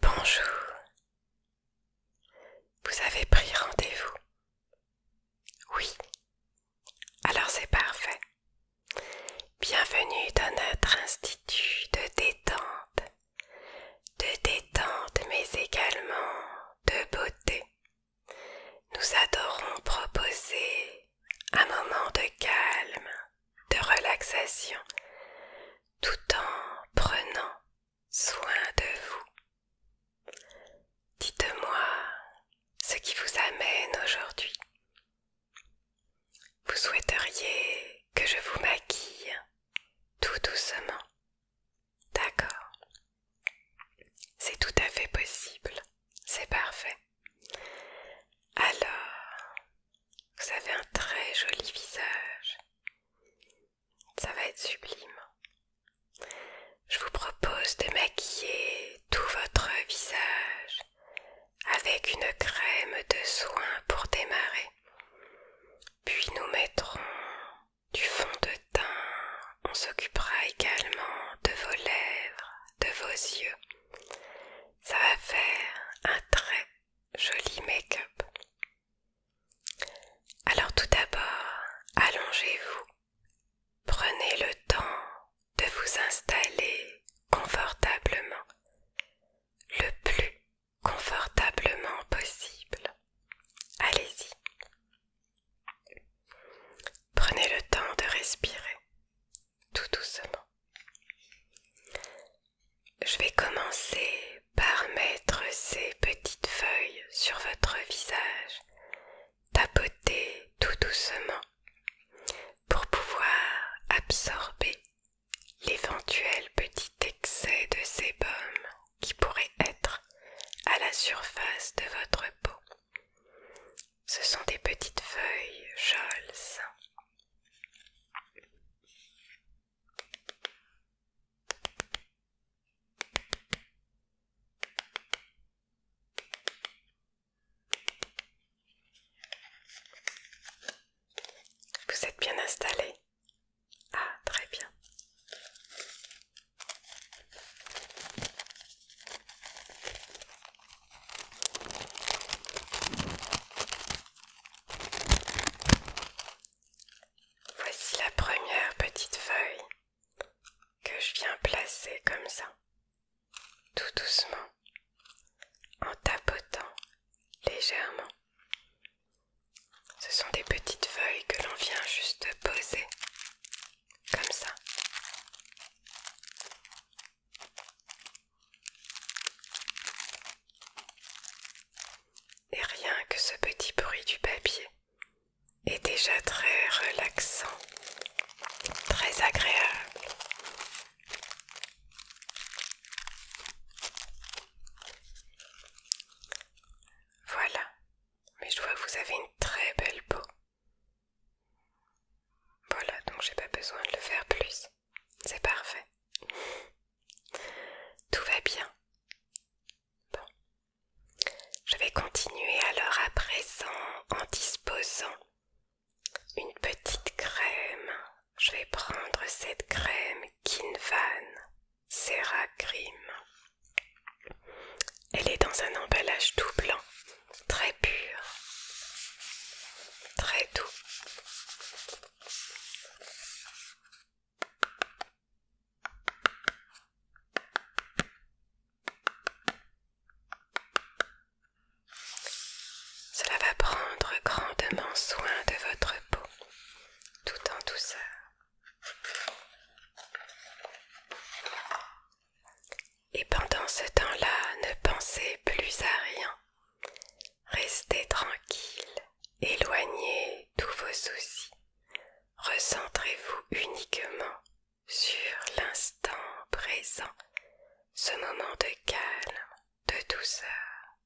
Bonjour. Vous avez pris rendez-vous Oui. Alors c'est parfait. Bienvenue dans notre institut de détente. De détente mais également de beauté. Nous adorons proposer un moment de calme de relaxation tout en prenant soin de vous. Dites-moi ce qui vous amène aujourd'hui. Vous souhaiteriez que je vous maquille tout doucement. D'accord. C'est tout à fait possible. C'est parfait. Alors, vous avez un très joli visage. Ça va être sublime. Je vous propose de maquiller tout votre visage avec une crème de soin pour démarrer. Puis nous mettrons du fond de teint. On s'occupera également de vos lèvres, de vos yeux. Ça va faire un trait joli make-up. Alors tout d'abord, allongez-vous. Prenez le temps de vous installer confortablement, le plus confortablement possible. Allez-y. Prenez le temps de respirer tout doucement. Je vais commencer par mettre ces petites feuilles sur votre visage, tapoter tout doucement pour pouvoir absorber l'éventuel petit excès de sébum qui pourrait être à la surface de votre peau. Ce sont des petites feuilles joles. Vous êtes bien installé Ah, très bien. Voici la première petite feuille que je viens placer comme ça, tout doucement, en tapotant légèrement. Ce sont des petites feuilles que l'on vient juste poser comme ça et rien que ce petit bruit du papier est déjà très relaxant, très agréable. Voilà, mais je vois que vous avez une très belle peau. Voilà, donc j'ai pas besoin de le faire plus c'est parfait. Tout va bien. Bon. Je vais continuer alors à présent en disposant une petite crème. Je vais prendre cette crème Kinvan Serra Cream. Elle est dans un emballage tout blanc très pur, très doux. Cela va prendre grandement soin de votre peau, tout en douceur et pendant ce temps-là ne pensez plus à rien. Restez tranquille, éloignez tous vos soucis, recentrez-vous uniquement sur l'instant présent, ce moment de calme, de douceur,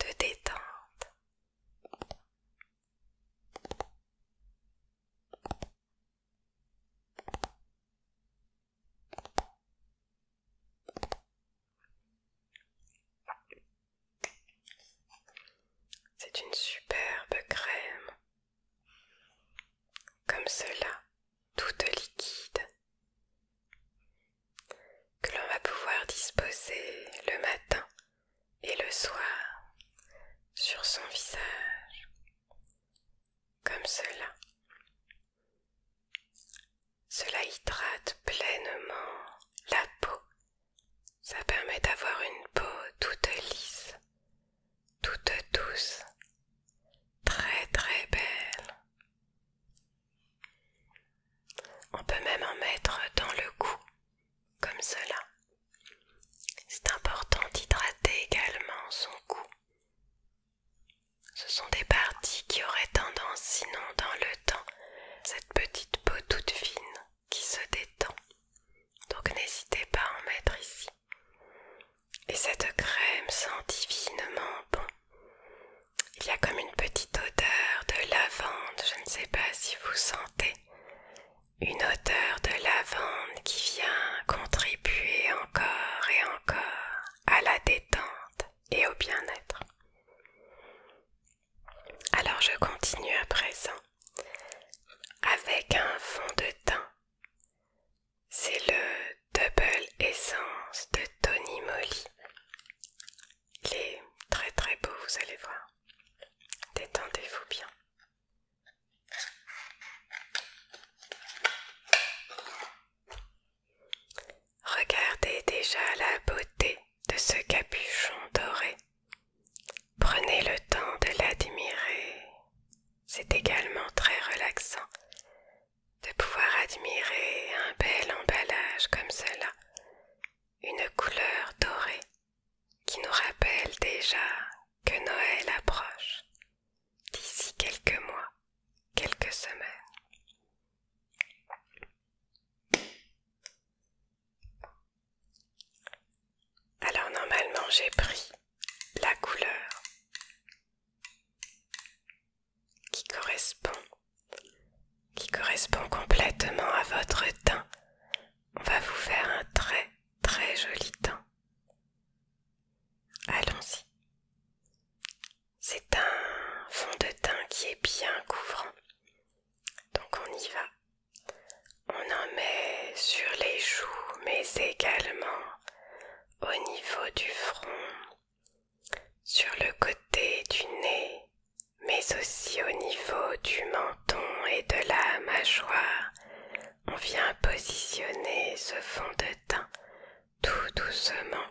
de détente. C'est une superbe crème, comme cela, toute liquide, que l'on va pouvoir disposer le matin et le soir sur son visage comme cela. Cela hydrate pleinement la peau. Ça permet d'avoir une peau toute lisse, toute douce, très très belle. On peut même en mettre dans le cou, comme cela. C'est important d'hydrater également son cou ce sont des parties qui auraient tendance, sinon dans le temps, cette petite peau toute fine qui se détend. Donc n'hésitez pas à en mettre ici. Et cette crème sent divinement bon. Il y a comme une petite odeur de lavande, je ne sais pas si vous sentez. Une odeur de lavande qui vient contribuer encore et encore à la détente et au bien-être. Alors je continue à présent avec un fond de teint. C'est le Double Essence de Tony Moly. Il est très très beau, vous allez voir. Détendez-vous bien. Regardez déjà la beauté de ce capuchon doré. Prenez le temps de l'admirer. C'est également très relaxant de pouvoir admirer un bel emballage comme cela, une couleur dorée qui nous rappelle déjà que Noël approche d'ici quelques mois, quelques semaines. Alors normalement j'ai pris la couleur qui correspond qui correspond complètement à votre teint. On va vous faire un très très joli teint. Allons-y. C'est un fond de teint qui est bien couvrant. Donc on y va. On en met sur les joues, mais également au niveau du front, sur le côté du nez, mais aussi au niveau du menton et de la mâchoire, on vient positionner ce fond de teint tout doucement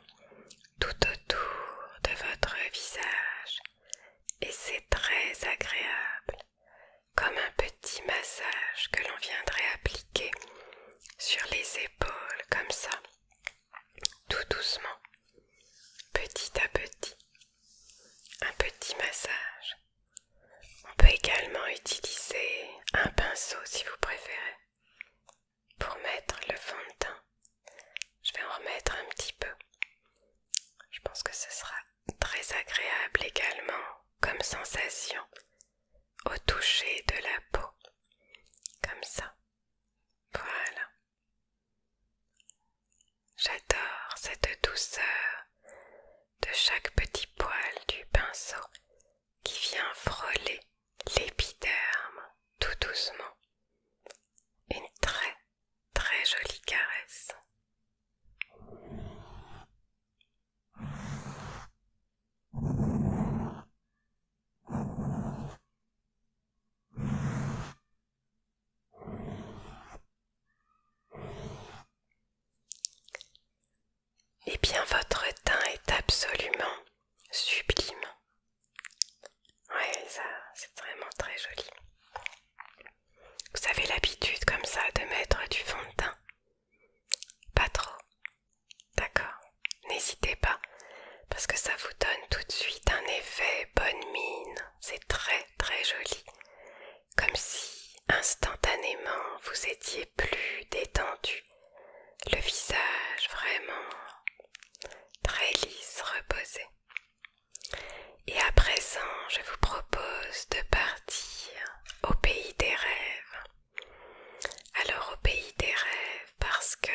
tout autour de votre visage et c'est très agréable comme un petit massage que l'on viendrait appliquer sur les épaules comme ça tout doucement petit à petit un petit massage on peut également utiliser un pinceau si vous préférez pour mettre le fond de teint. Je vais en remettre un petit peu. Je pense que ce sera très agréable également comme sensation au toucher de la peau. Comme ça. Voilà. J'adore cette douceur de chaque petit poil du pinceau qui vient frôler l'épiderme tout doucement. Une très très jolie caresse et eh bien, votre teint est absolument sublime. Ouais, ça, c'est vraiment très joli. Vous avez l'habitude comme ça de mettre du fond de teint Pas trop. D'accord. N'hésitez pas, parce que ça vous donne tout de suite un effet bonne mine. C'est très très joli comme si instantanément vous étiez plus détendu, le visage vraiment très lisse, reposé. Et à présent, je vous propose de partir au pays des rêves. Alors au pays des rêves, parce que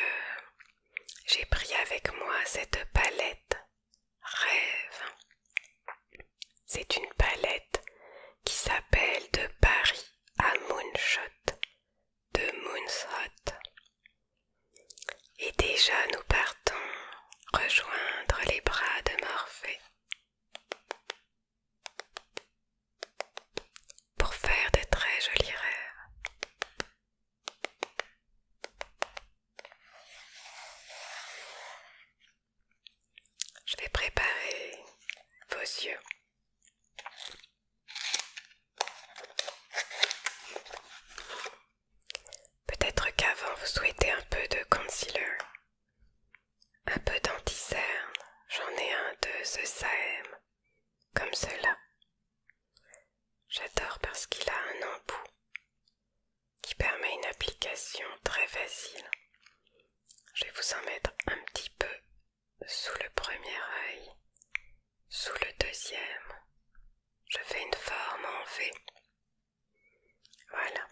j'ai pris avec moi cette palette rêve c'est une palette qui s'appelle de Paris à Moonshot, de Moonshot. Et déjà nous partons rejoindre les bras de Morphée pour faire de très jolis rêves. Je vais préparer vos yeux. Peut-être qu'avant vous souhaitez un peu de concealer, un peu d'anticerne, j'en ai un de ce Saem, comme cela. J'adore parce qu'il a un embout qui permet une application très facile. Je vais vous en mettre un petit peu sous le premier œil, sous le deuxième. Je fais une forme en V. Voilà.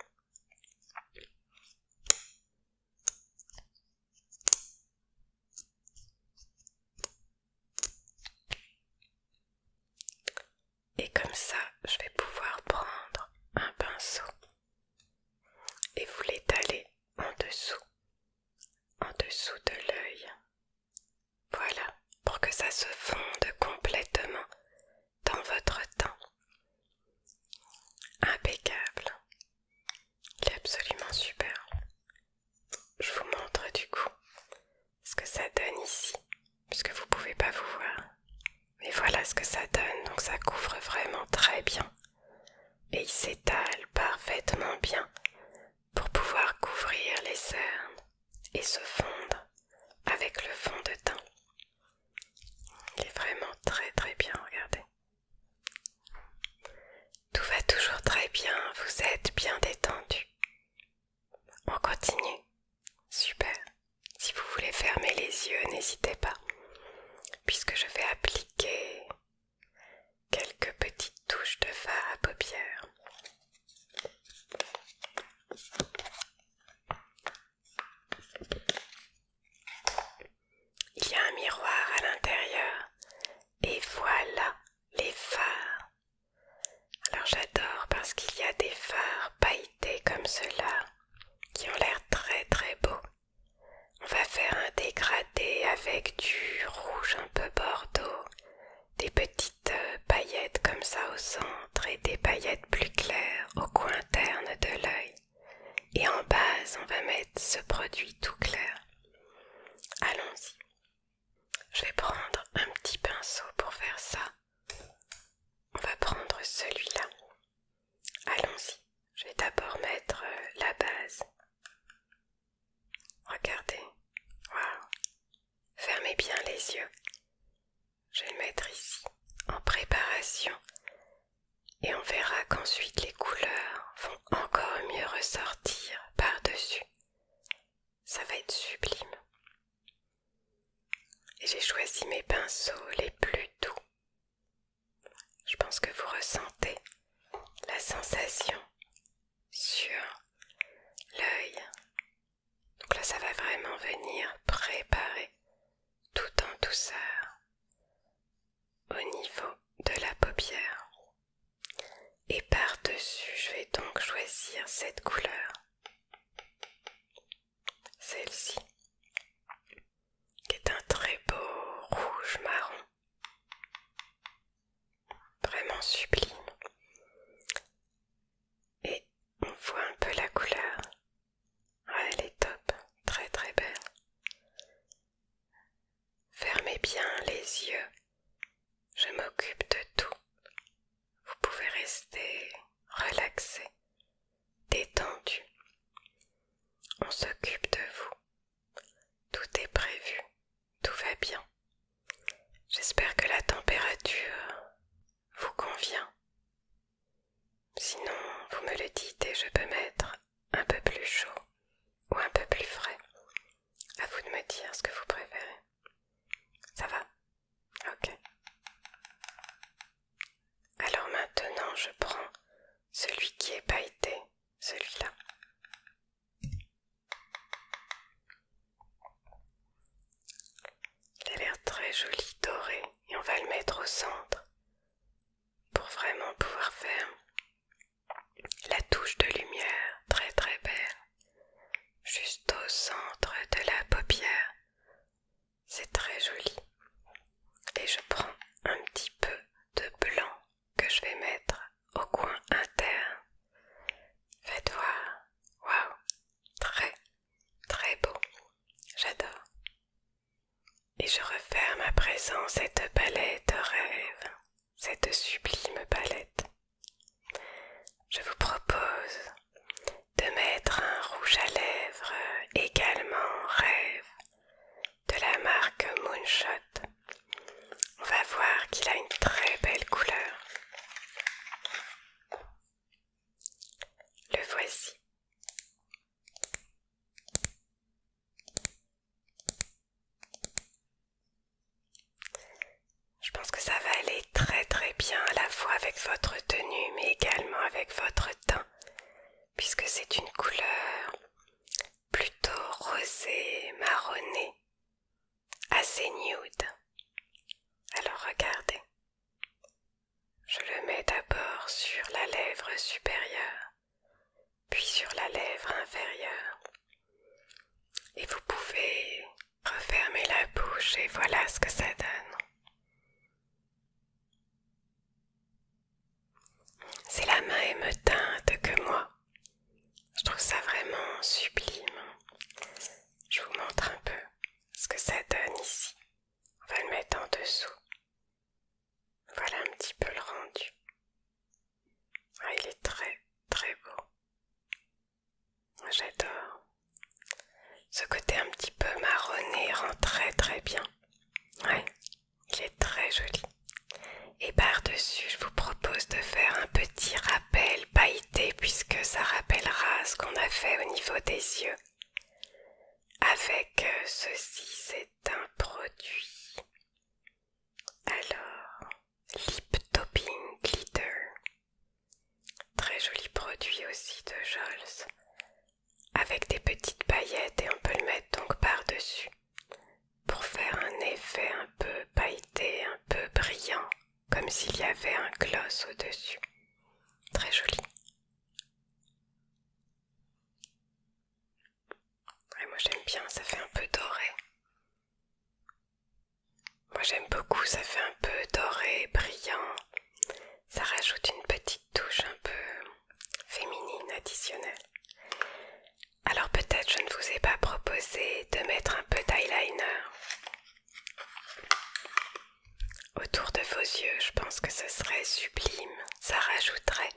Et comme ça, je vais pouvoir prendre un pinceau et vous l'étaler en dessous, en dessous de l'œil. Voilà, pour que ça se fonde complètement dans votre teint. Impeccable. Il est absolument super. Je vous montre du coup ce que ça donne ici puisque vous pouvez pas vous voir. Mais voilà ce que ça donne, donc ça couvre vraiment très bien. Et il s'étale parfaitement bien pour pouvoir couvrir les cernes et se fondre avec le fond de teint. Il est vraiment très très bien, regardez. Tout va toujours très bien, vous êtes bien détendu. On continue Super. Si vous voulez fermer les yeux, n'hésitez pas, puisque je vais appliquer quelques petites touches de fard à paupières. Il y a un miroir à l'intérieur et voilà les phares. Alors j'adore parce qu'il y a des phares pailletés comme ceux-là qui ont l'air très très beau On va faire un dégradé avec du rouge un peu bordeaux, des petites euh, paillettes comme ça au centre et des paillettes plus claires au coin interne de l'œil. Et en base, on va mettre ce produit tout clair. Allons-y. Je vais prendre un petit pinceau pour faire ça on va prendre celui-là. Allons-y. Je vais d'abord mettre euh, la base. Regardez. Fermez bien les yeux. Je vais le mettre ici, en préparation. Et on verra qu'ensuite les couleurs vont encore mieux ressortir par-dessus. Ça va être sublime et J'ai choisi mes pinceaux les plus doux. Je pense que vous ressentez la sensation sur l'œil. Donc là, ça va vraiment venir préparer tout en douceur au niveau de la paupière. Et par-dessus, je vais donc choisir cette couleur celle-ci, qui est un très beau rouge marron, vraiment sublime. Et on voit un peu la couleur. Ah, elle est top, très très belle. Fermez bien les yeux, je m'occupe de tout vous pouvez rester relaxé, détendu. On s'occupe de vous. Tout est prévu, tout va bien. J'espère que la température vous convient. Sinon, vous me le dites et je peux mettre un peu plus chaud ou un peu plus frais. À vous de me dire ce que vous préférez. Ça va Ok. Alors maintenant, je prends celui qui est pailleté, celui-là. Il a l'air très joli, doré, et on va le mettre au centre pour vraiment pouvoir faire la touche de lumière très très belle, juste au centre de la paupière. C'est très joli. Et je prends un petit peu de blanc que je vais mettre au coin interne. Faites voir. Waouh. Très, très beau. J'adore. Et je referme à présent cette palette rêve, cette sublime palette. Je vous propose de mettre un rouge à lèvres également rêve de la marque Moonshot. On va voir qu'il a une très belle couleur. Le voici. Je pense que ça va aller très très bien à la fois avec votre tenue mais également avec votre teint puisque c'est une couleur plutôt rosée, marronnée, assez nude. Alors regardez. Je le mets d'abord sur la lèvre supérieure, puis sur la lèvre inférieure. Et vous pouvez Refermez la bouche et voilà ce que ça donne. C'est la même teinte que moi. Je trouve ça vraiment sublime. Je vous montre un peu ce que ça donne ici. On va le mettre en dessous. Voilà un petit peu le rendu. Ah, il est très très beau. J'adore. Ce côté un petit peu marronné rend très très bien. Ouais, il est très joli. Et par-dessus, je vous propose de faire un petit rappel pailleté puisque ça rappellera ce qu'on a fait au niveau des yeux. Avec euh, ceci, c'est un produit. Alors, Lip Topping Glitter. Très joli produit aussi de Jols. Avec des petites paillettes et on peut le mettre donc par-dessus. Pour faire un effet un peu pailleté, un peu brillant. Comme s'il y avait un gloss au-dessus. Très joli. moi j'aime bien, ça fait un peu doré. Moi j'aime beaucoup, ça fait un peu doré, brillant. Ça rajoute une petite touche un peu féminine additionnelle. Alors peut-être je ne vous ai pas proposé de mettre un peu d'eyeliner autour de vos yeux. Je pense que ce serait sublime. Ça rajouterait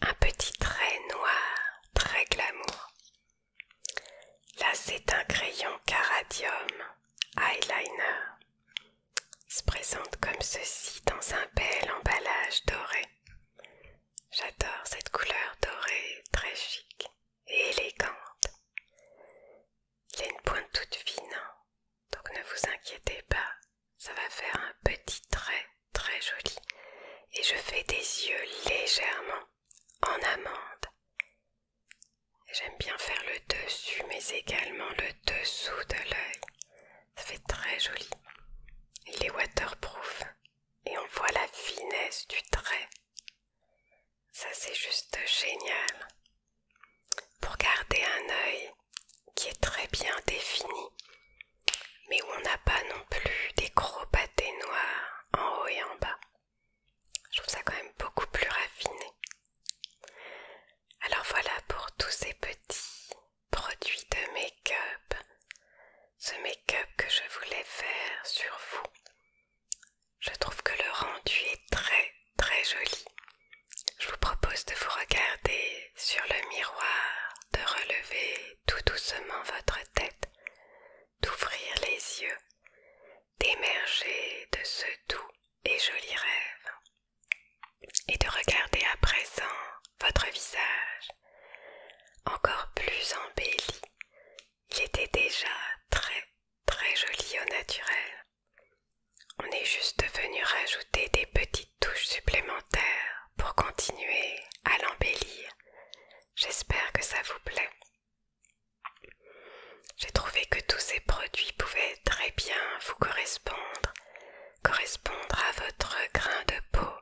un petit trait noir, très glamour. Là, c'est un crayon Caradium Eyeliner. Il se présente comme ceci dans un bel emballage doré. J'adore cette couleur dorée, très chic et élégante. Il a une pointe toute fine, hein. donc ne vous inquiétez pas, ça va faire un petit trait très joli. Et je fais des yeux légèrement en amande J'aime bien faire le dessus mais également le dessous de l'œil. Ça fait très joli. Il est waterproof et on voit la finesse du trait. Ça c'est juste génial. Pour garder un œil qui est très bien défini, mais où on n'a pas non plus des gros pâtés noirs en haut et en bas. Je trouve ça quand même beaucoup plus raffiné. Alors voilà pour tous ces petits produits de make-up. Ce make-up que je voulais faire sur vous. Je trouve que le rendu est très très joli. Je vous propose de vous regarder sur le miroir, de relever tout doucement votre tête d'ouvrir les yeux, d'émerger de ce doux et joli rêve et de regarder à présent votre visage encore plus embelli. Il était déjà très très joli au naturel. On est juste venu rajouter des petites touches supplémentaires pour continuer à l'embellir. J'espère que ça vous plaît. J'ai trouvé que tous ces produits pouvaient très bien vous correspondre, correspondre à votre grain de peau,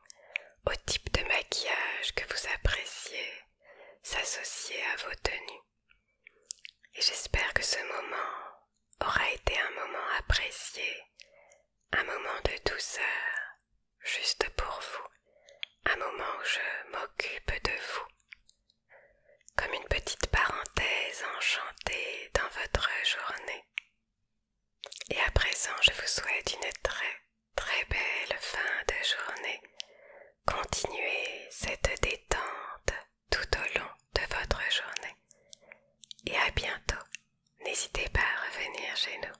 au type de maquillage que vous appréciez, s'associer à vos tenues. Et j'espère que ce moment aura été un moment apprécié, un moment de douceur, juste pour vous, un moment où je m'occupe de vous, comme une petite parenthèse enchantée dans votre journée. Et à présent, je vous souhaite une très très belle fin de journée. Continuez cette détente tout au long de votre journée. Et à bientôt. N'hésitez pas à revenir chez nous.